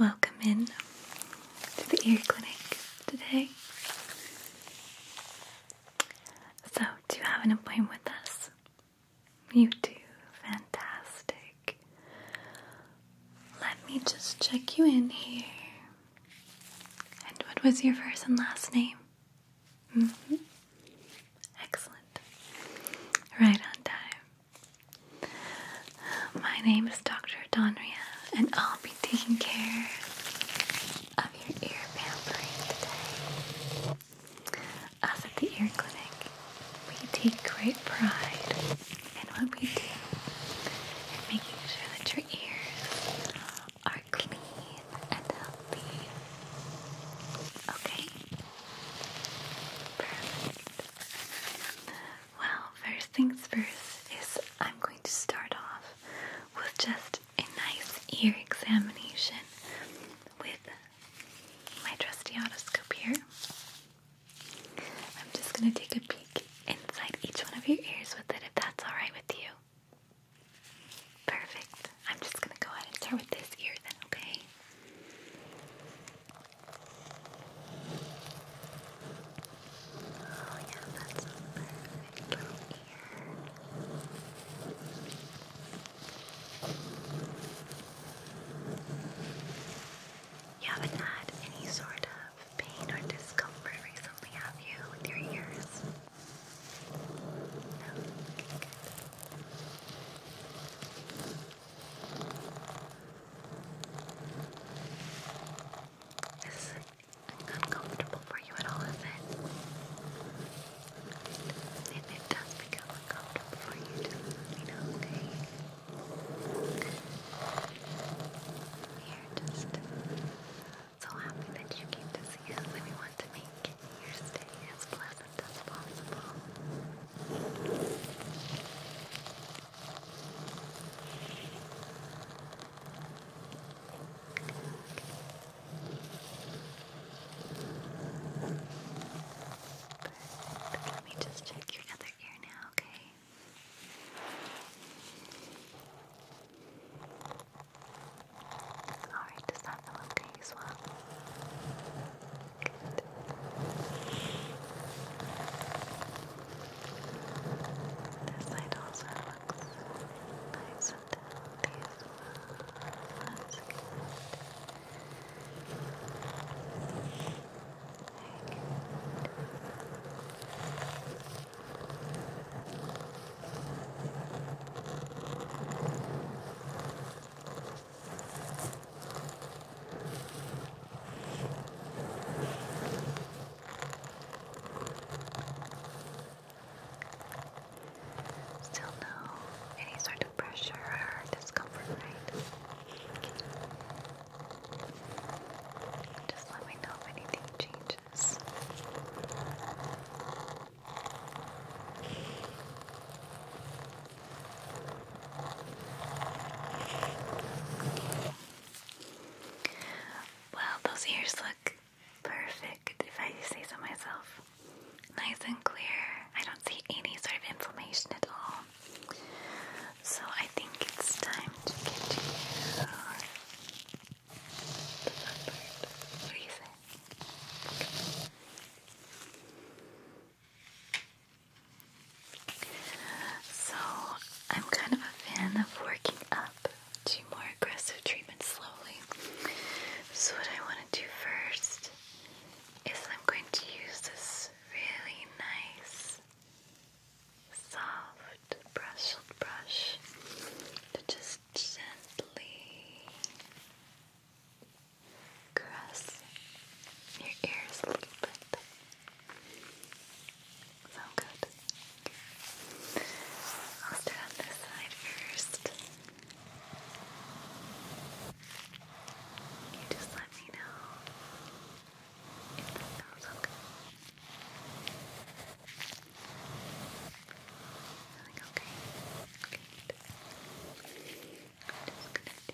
Welcome in to the ear clinic today. So, do you have an appointment with us? You do. Fantastic. Let me just check you in here. And what was your first and last name? Mm Excellent. Right on time. My name is Dr. Donria, and I'll be taking care of your ear pain today. Us at the ear clinic, we take great pride in what we do and making sure that your ears are clean and healthy. Okay? Perfect. Well, first things first is I'm going to start off with just a nice ear examination with my trusty otoscope here. I'm just going to take a peek inside each one of your ears with it if that's alright with you. Perfect. I'm just going to go ahead and start with this ear then, okay? Oh yeah, that's perfect You haven't had any sort of pain or discomfort recently, have you, with your ears? No? Okay, this is uncomfortable for you at all, is it? And it does become uncomfortable for you to you know, okay? You're just so happy that you came to see us and we want to make your stay as pleasant as possible. Perfect. Let me just check your other ear now, okay? Alright, does that feel okay as well? This light also looks nice and healthy as well. That's good. Very good. Still no any sort of pressure or discomfort, right? Just let me know if anything changes. Well, those ears look perfect, if I say so myself. Nice and clear. I don't see any sort of inflammation at all. So I think it's time to get you. What do you so, I'm kind of a fan of working up to more aggressive treatment slowly. So, what I want to do first is I'm going to use this really nice, soft brushed brush to just gently caress your ears a little bit. Sound good? I'll start this side first. You just let me know if that sounds okay. Feeling okay? Good. I'm just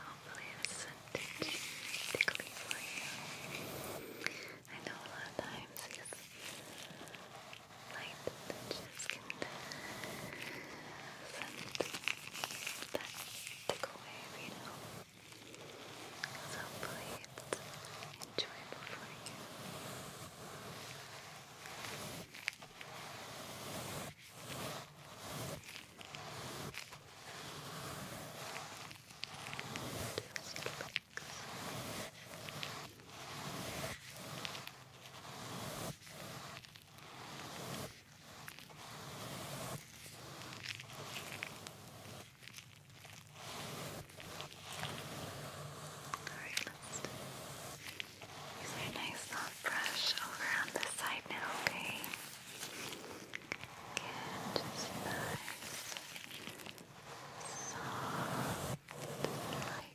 Hopefully this is tickly for you. I know a lot of times light touches can send that tickle wave, you know. So hopefully it's enjoyable for you. Just relax. Relax. Alright, let's use our nice soft brush over on this side now, okay? Again, just nice, soft, like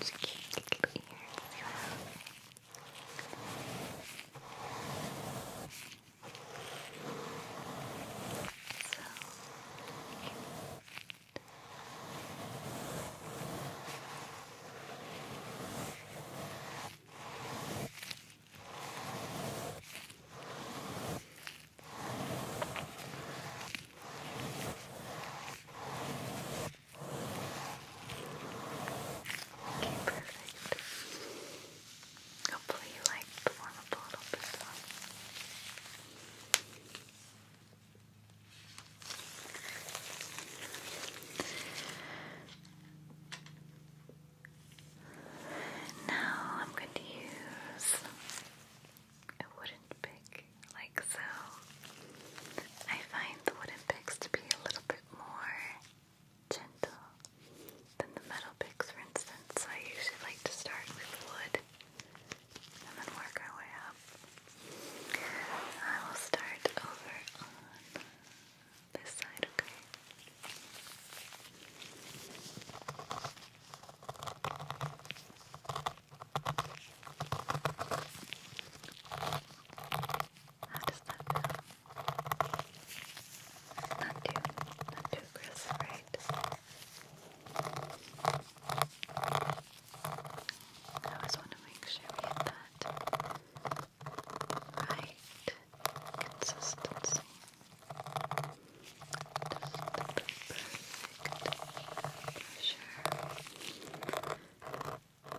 It's cute little ears as well. So cute. Okay, perfect. Hopefully you like the warm up a little bit though. Now I'm going to use a wooden pick, like so. I find the wooden picks to be a little bit more gentle than the metal picks, for instance. So I usually like to start with wood and then work our way up. I will start over on this side, okay? How does that feel? Not too, not too aggressive, I always want to we hit that right consistency. Just perfect pressure.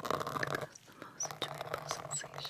Cause the most enjoyable sensations.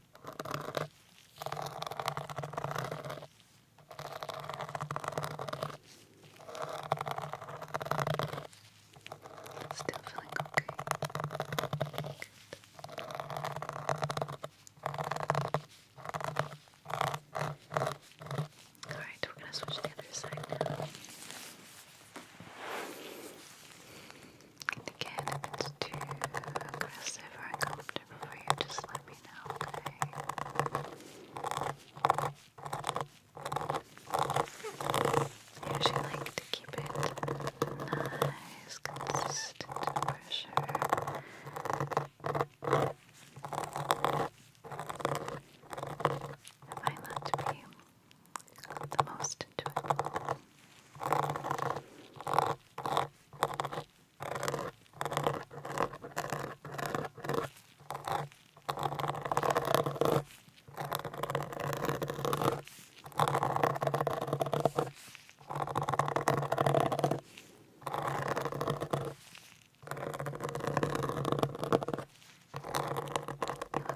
Still feeling okay. Good. All right, we're gonna switch to the other side now. Again, if it's too aggressive or uncomfortable for you, just let me know, I usually like to keep it nice, consistent pressure. I find that to the most intuitive. You look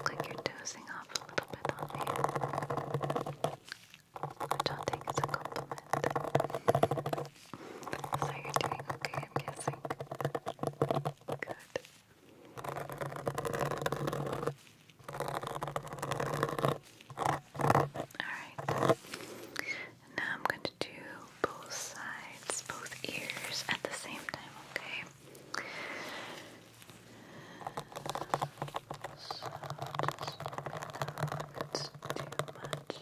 like you're dozing off a little bit on me which I think is a compliment. So you're doing okay, I'm guessing. Good. Alright. Now I'm going to do both sides, both ears at the same time, okay? So just let me know if it's too much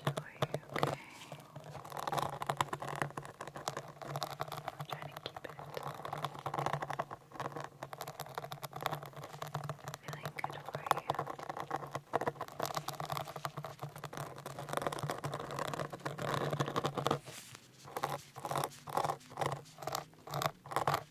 for you, okay? I'm trying to keep it feeling good for you. Okay.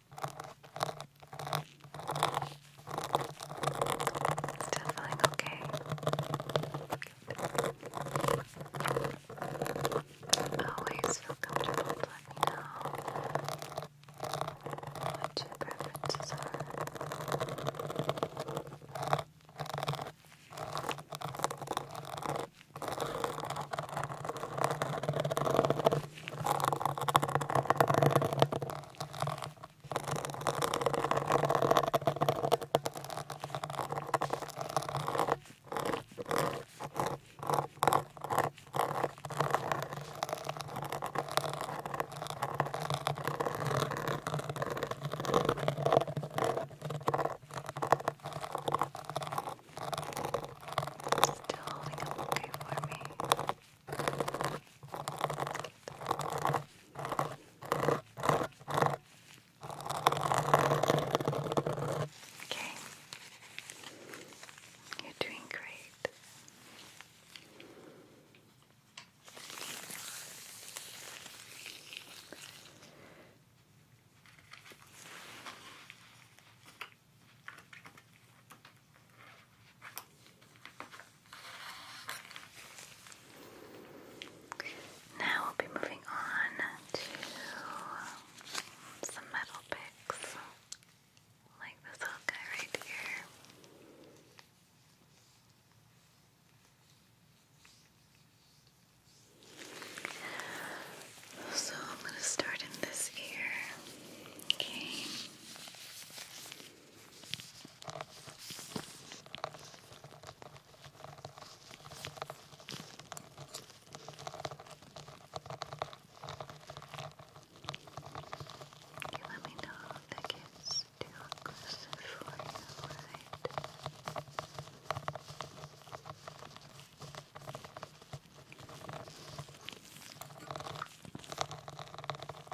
Still feeling okay. Always feel comfortable let me know what your preferences are. Still holding up okay for me. Okay. You're doing great. Now we'll be moving on to some metal picks, like this little guy right here. So I'm going to start in this ear. Okay. You let me know if that gets too aggressive for you, right? Okay.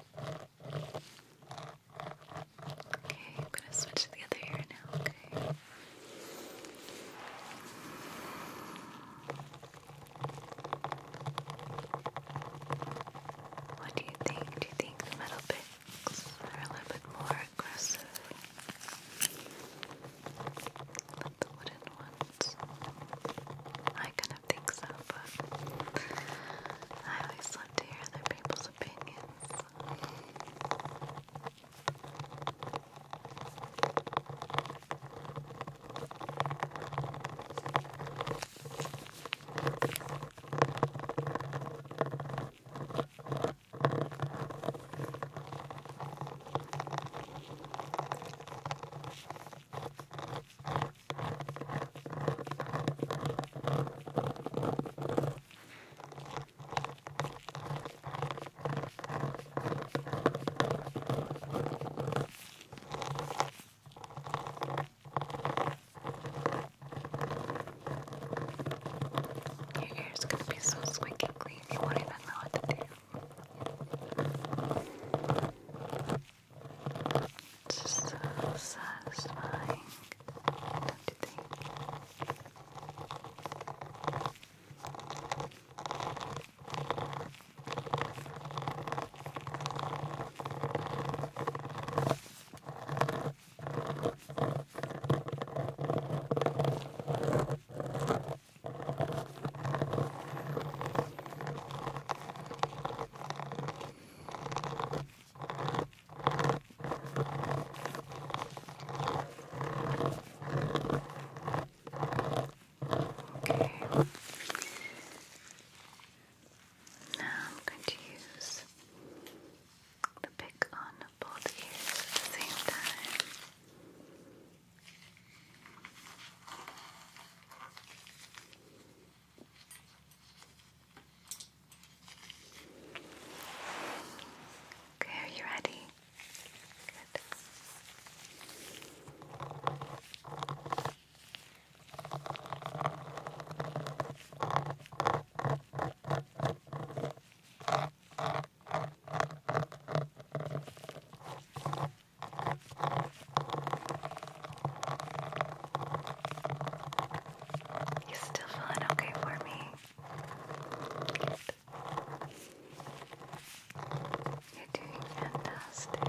Okay, I'm gonna switch to the other ear now, okay? What do you think? Do you think the metal picks are a little bit more aggressive than the wooden ones? I can don't think so, but I always love to hear other people's opinions. Your ears gonna be so squeaky clean you won't even know what to do. It's just so satisfying, don't you think? Okay. Now I'm going to use the pick on both ears at the same time. Okay, are you ready? Good. You still feeling okay for me? You're doing fantastic.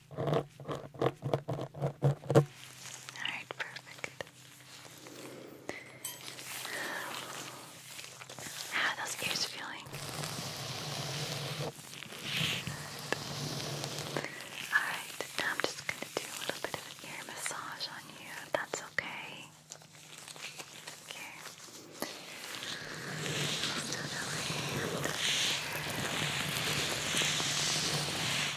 Alright, perfect. How those ears feeling? Alright, now I'm just going to do a little bit of an ear massage on you, that's okay. Okay.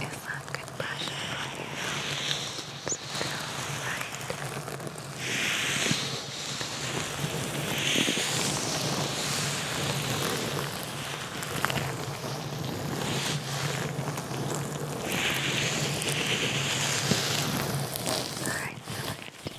Is that good pressure for you? All right. All right. Good.